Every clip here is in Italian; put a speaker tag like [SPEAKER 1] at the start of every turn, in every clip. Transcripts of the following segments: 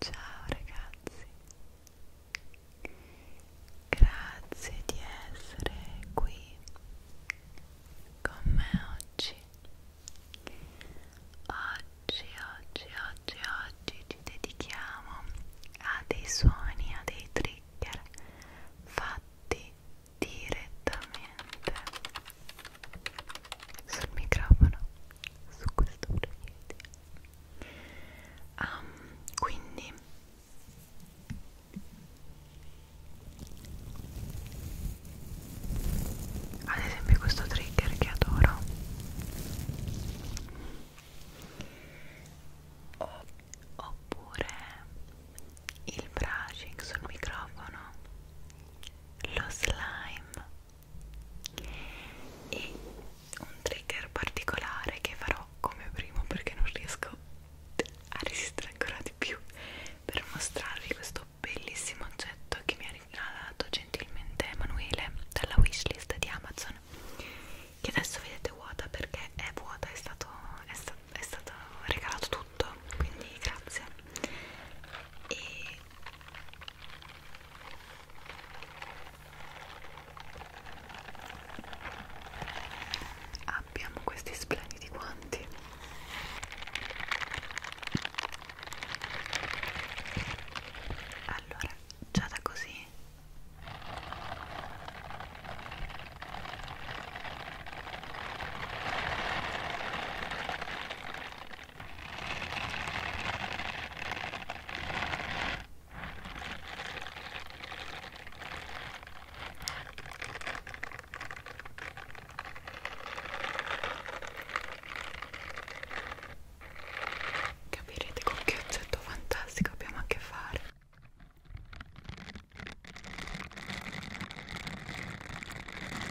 [SPEAKER 1] Ciao ragazzi, grazie di essere qui con me oggi. Oggi, oggi, oggi, oggi ci dedichiamo a dei suoni, a dei trigger fatti direttamente sul microfono su questo profilo um, ehm, quindi ad esempio questo trigger che adoro oppure il brushing sul microfono lo slime e un trigger particolare che farò come primo perché non riesco a resistere ancora di più per mostrarvi questo bellissimo oggetto che mi ha regalato gentilmente Emanuele dalla wishlist di Amazon che adesso vedete vuota perché è vuota, è stato, è sta, è stato regalato tutto quindi grazie e Abbiamo questi splendidi guanti. Allora, già da così Capirete con che oggetto fantastico abbiamo a che fare.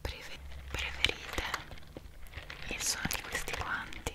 [SPEAKER 1] Prefer preferite il suono di questi guanti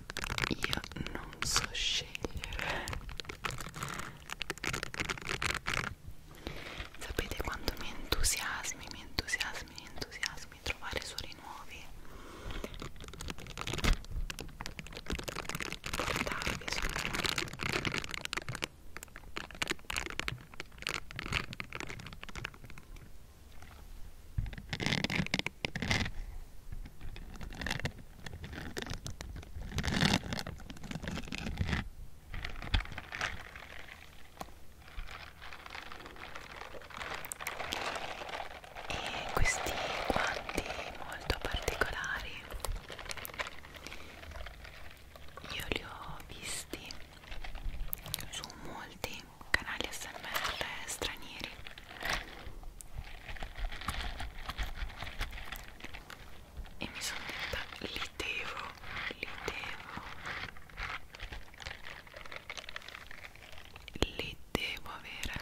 [SPEAKER 1] io non so scegliere sapete quanto mi entusiasmi mi entusiasmi mi entusiasmi trovare suoni nuovi portarvi suoni nuovi e questi guanti molto particolari io li ho visti su molti canali smr stranieri e mi sono detta li devo, li devo li devo avere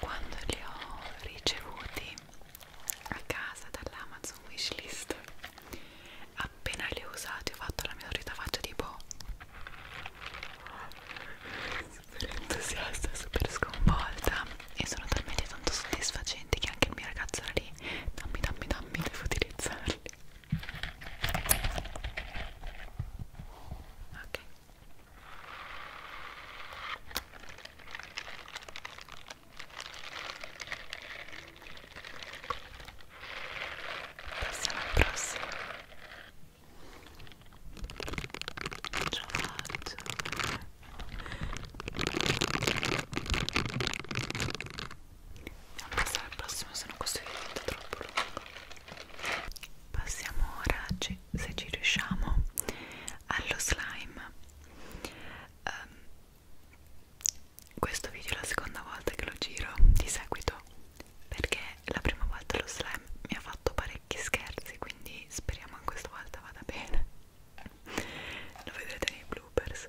[SPEAKER 1] Quando li ho ricevuti a casa dall'Amazon Wishlist appena le ho usate ho fatto la mia solita faccia tipo super entusiasta, super sconvolta e sono talmente tanto soddisfacenti che anche il mio ragazzo era lì dammi dammi dammi devo utilizzarli ok Passiamo al prossimo. Ce la faccio. Andiamo a passare al prossimo, se no questo video diventa troppo lungo. Passiamo ora, se ci riusciamo, allo slime. Um, questo video è la seconda volta che lo giro di seguito perché la prima volta lo slime mi ha fatto parecchi scherzi quindi speriamo che questa volta vada bene lo vedrete nei bloopers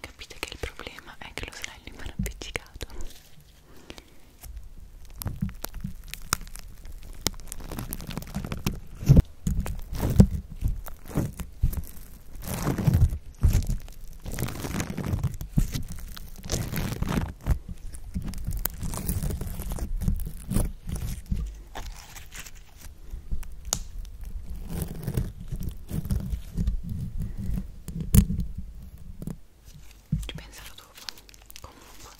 [SPEAKER 1] Capite che il problema è che lo slime è appiccicato. Ripensalo dopo. Comunque,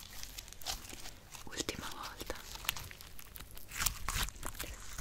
[SPEAKER 1] ultima volta. Adesso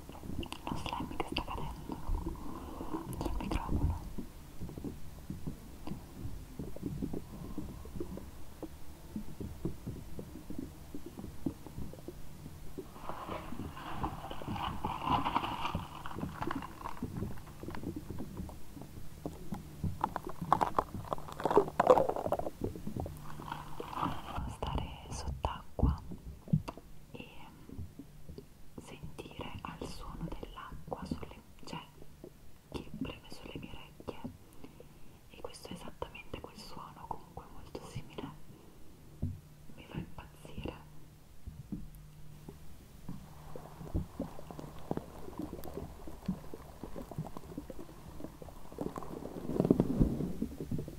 [SPEAKER 1] lo slime che sta cadendo sul microfono stare sott'acqua e sentire al suono dell'acqua sulle cioè, che preme sulle mie orecchie e questo è esattamente quel suono comunque molto simile mi fa impazzire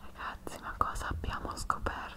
[SPEAKER 1] Ragazzi, ma cosa abbiamo scoperto?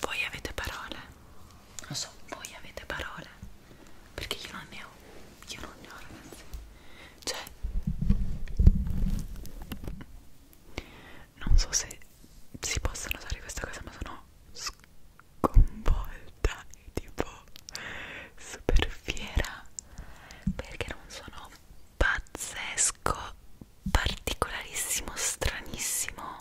[SPEAKER 1] Voi avete parole? Lo so, voi avete parole? Perché io non ne ho, io non ne ho ragazzi. Cioè, non so se si possono usare questa cosa, ma sono sconvolta e tipo super fiera perché non sono pazzesco particolarissimo, stranissimo.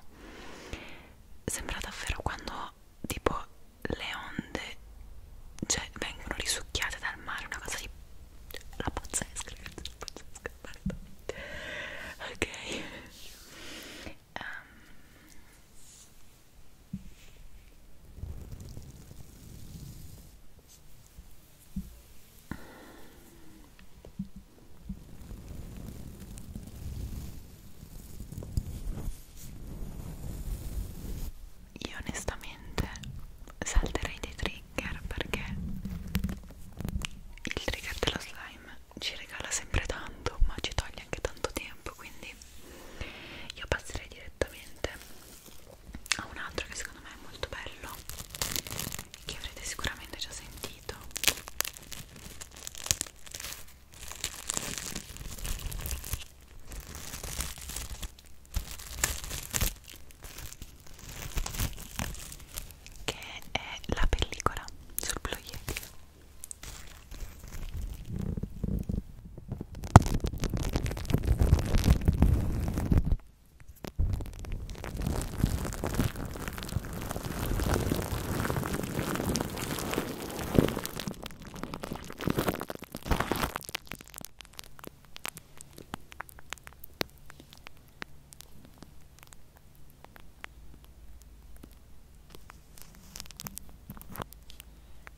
[SPEAKER 1] Sembra davvero quando tipo le onde cioè, vengono risucchiate dal mare, una cosa di la pazzesca, ragazzi, la pazzesca, basta. Ok. Um. Io onestamente salterei dei trigger perché il trigger dello slime ci regala sempre tanto ma ci toglie anche tanto tempo quindi io passerei direttamente a un altro che secondo me è molto bello che avrete sicuramente già sentito preferito che è la pellicola sul blu yeti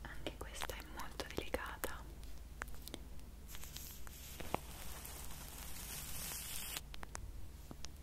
[SPEAKER 1] anche questa è molto delicata.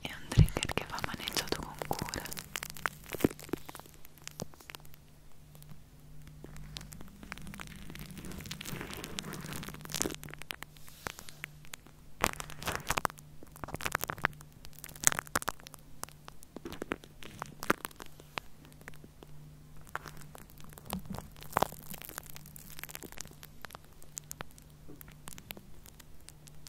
[SPEAKER 1] è un trigger che va maneggiato con cura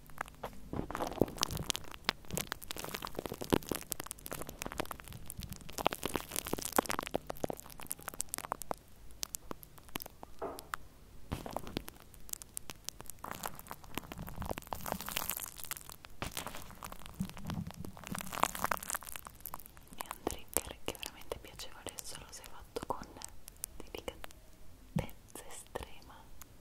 [SPEAKER 1] è un trigger che veramente piacevole solo se fatto con delicatezza estrema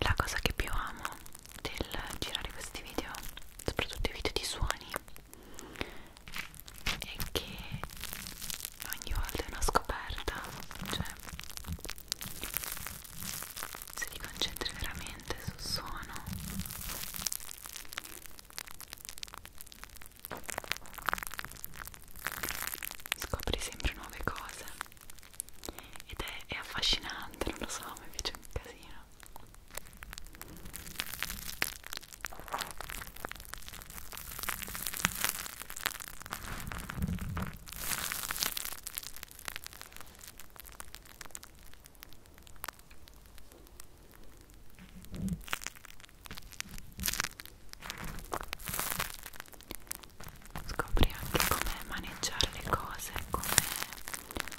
[SPEAKER 1] La cosa che più amo del girare questi video, soprattutto i video di suoni, è che ogni volta è una scoperta, cioè se ti concentri veramente sul suono scopri sempre nuove cose ed è, è affascinante, non lo so, mi piace un casino Scopri anche come maneggiare le cose, come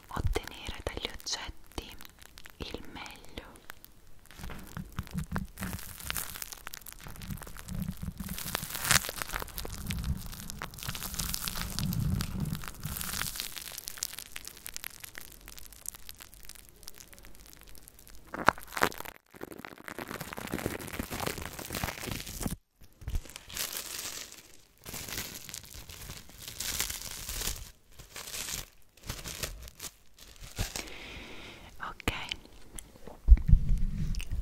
[SPEAKER 1] ottenere dagli oggetti il meglio. Ok,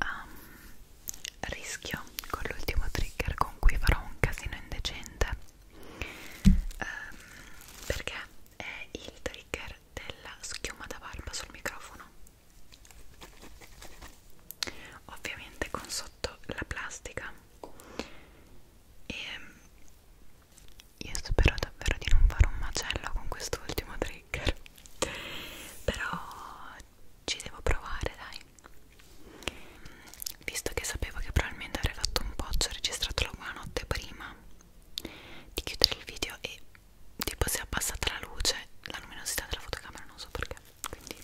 [SPEAKER 1] um, rischio con l'ultimo trigger con cui farò un casino indecente um, perché è il trigger della schiuma da barba sul microfono ovviamente con sotto la plastica e io spero davvero di non fare un macello con quest'ultimo trigger però ci devo provare dai visto che sapevo che probabilmente avrei fatto un po' ho registrato la buonanotte prima di chiudere il video e tipo si è abbassata la luce, la luminosità della fotocamera, non so perché. Quindi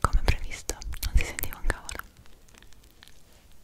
[SPEAKER 1] Come previsto, non si sentiva un cavolo.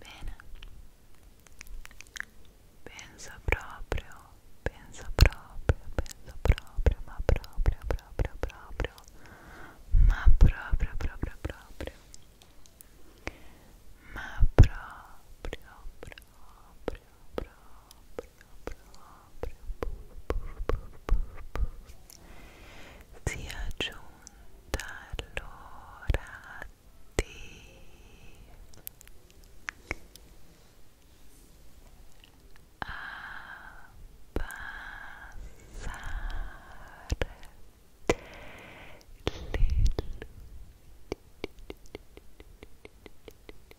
[SPEAKER 1] Bene, pensa proprio, pensa proprio, pensa proprio, ma proprio, proprio, proprio, ma proprio, proprio, proprio, ma proprio, proprio, proprio proprio si è giunta l'ora di abbassare le luci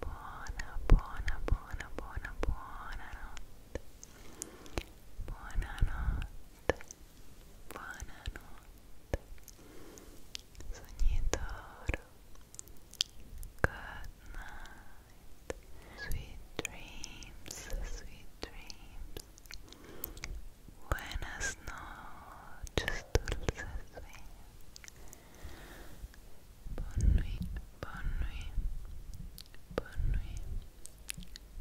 [SPEAKER 1] Buona, buona, buona, buona, buonanotte. Buonanotte. Buonanotte. Sognitoro. Good night. Sweet dreams, sweet dreams. Buenas noches, dulces Bonne nuit, bonne nuit, bonne nuit,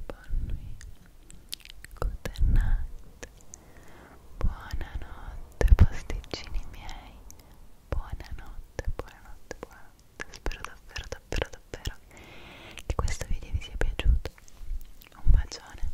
[SPEAKER 1] bonne nuit. Good night. Buonanotte, pasticcini miei. Buonanotte, buonanotte, buonanotte. Spero davvero, davvero, davvero che questo video vi sia piaciuto. Un bacione.